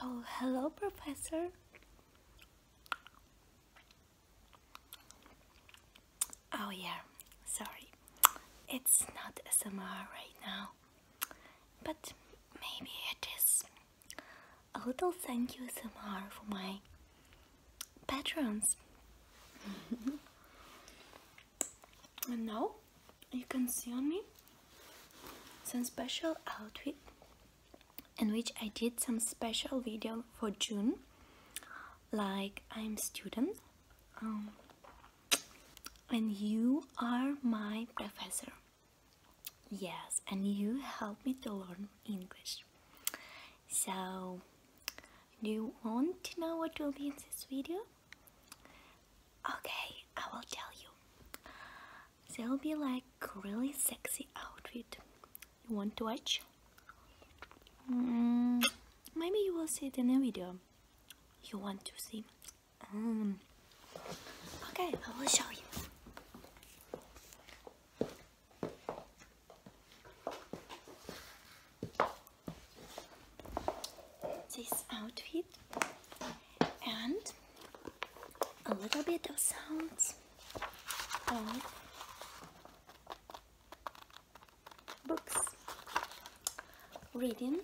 Oh, hello, Professor. Oh, yeah, sorry. It's not SMR right now, but maybe it is. A little thank you SMR for my patrons. And now you can see on me some special outfit in which I did some special video for June like I'm student um, and you are my professor yes and you help me to learn English so, do you want to know what will be in this video? Okay, I will tell you. There will be like really sexy outfit. You want to watch? Mm, maybe you will see it in the video. You want to see? Um, okay, I will show you this outfit and a little bit of sounds of books reading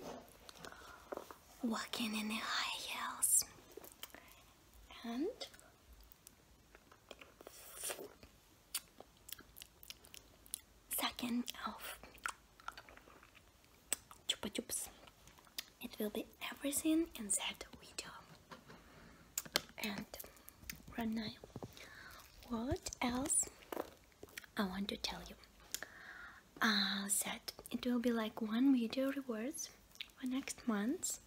walking in the high hills, and Second of Chupa Chups. It will be everything in that video. And right now, what else I want to tell you? Uh, that it will be like one video rewards for next month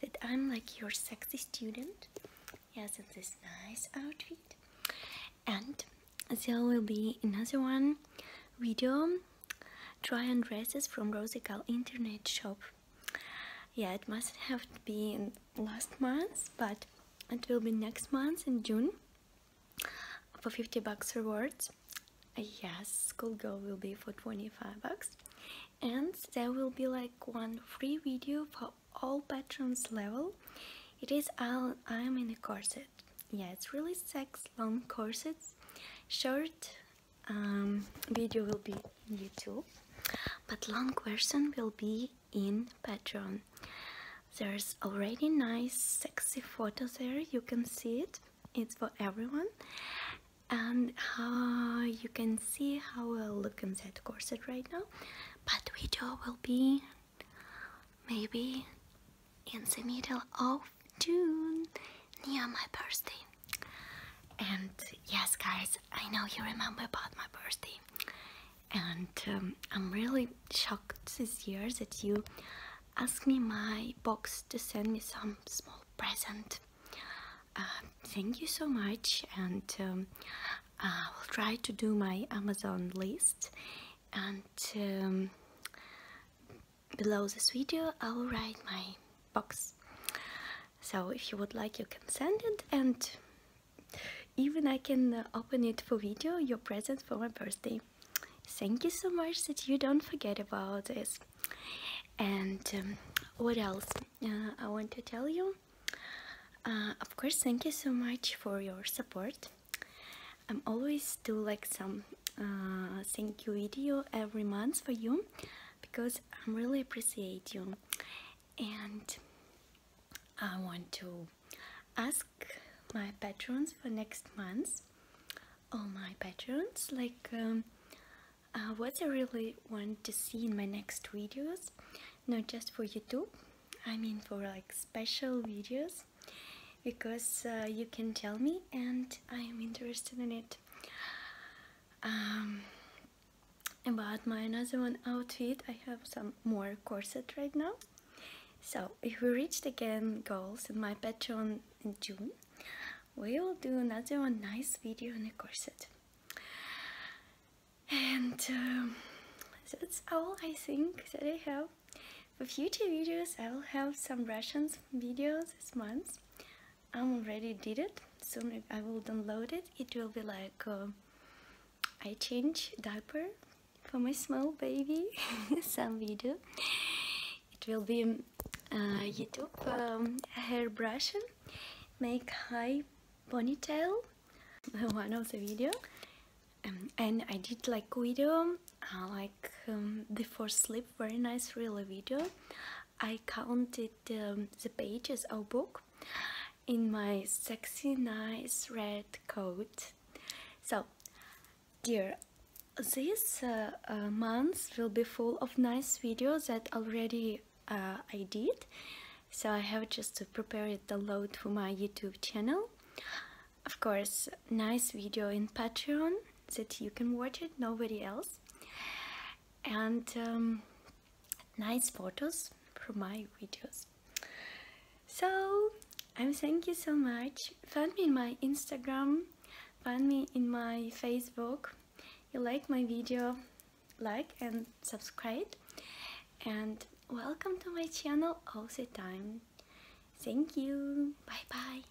that I'm like your sexy student. Yes, it's this nice outfit. And there will be another one video try on dresses from Rosical internet shop. Yeah, it must have been last month, but it will be next month in June for 50 bucks rewards yes schoolgirl will be for 25 bucks and there will be like one free video for all patrons level it is i'm in a corset yeah it's really sex long corsets short um, video will be youtube but long version will be in patreon there's already nice sexy photo there you can see it it's for everyone and you can see how I look in that corset right now but video will be maybe in the middle of June near my birthday and yes guys I know you remember about my birthday and um, I'm really shocked this year that you Ask me my box to send me some small present. Uh, thank you so much, and um, I will try to do my Amazon list. And um, below this video, I will write my box. So if you would like, you can send it, and even I can uh, open it for video. Your present for my birthday thank you so much that you don't forget about this and um, what else uh, i want to tell you uh, of course thank you so much for your support i'm always do like some uh, thank you video every month for you because i'm really appreciate you and i want to ask my patrons for next month all oh, my patrons like um, uh, what I really want to see in my next videos not just for YouTube I mean for like special videos because uh, you can tell me and I am interested in it um, about my another one outfit I have some more corset right now so if we reach again goals in my Patreon in June, we will do another nice video on a corset. And um, that's all I think that I have. For future videos, I will have some Russian videos this month. I already did it. Soon I will download it. It will be like uh, I change diaper for my small baby some video it will be uh, YouTube um, hairbrushing make high ponytail one of the video um, and I did like video uh, like um, before sleep very nice really video I counted um, the pages of book in my sexy nice red coat so dear this uh, uh month will be full of nice videos that already uh, I did so I have just to prepare it download for my YouTube channel of course nice video in Patreon that you can watch it nobody else and um, nice photos from my videos. So I'm thank you so much. Find me in my Instagram, find me in my Facebook. You like my video, like and subscribe. And welcome to my channel all the time. Thank you. Bye bye.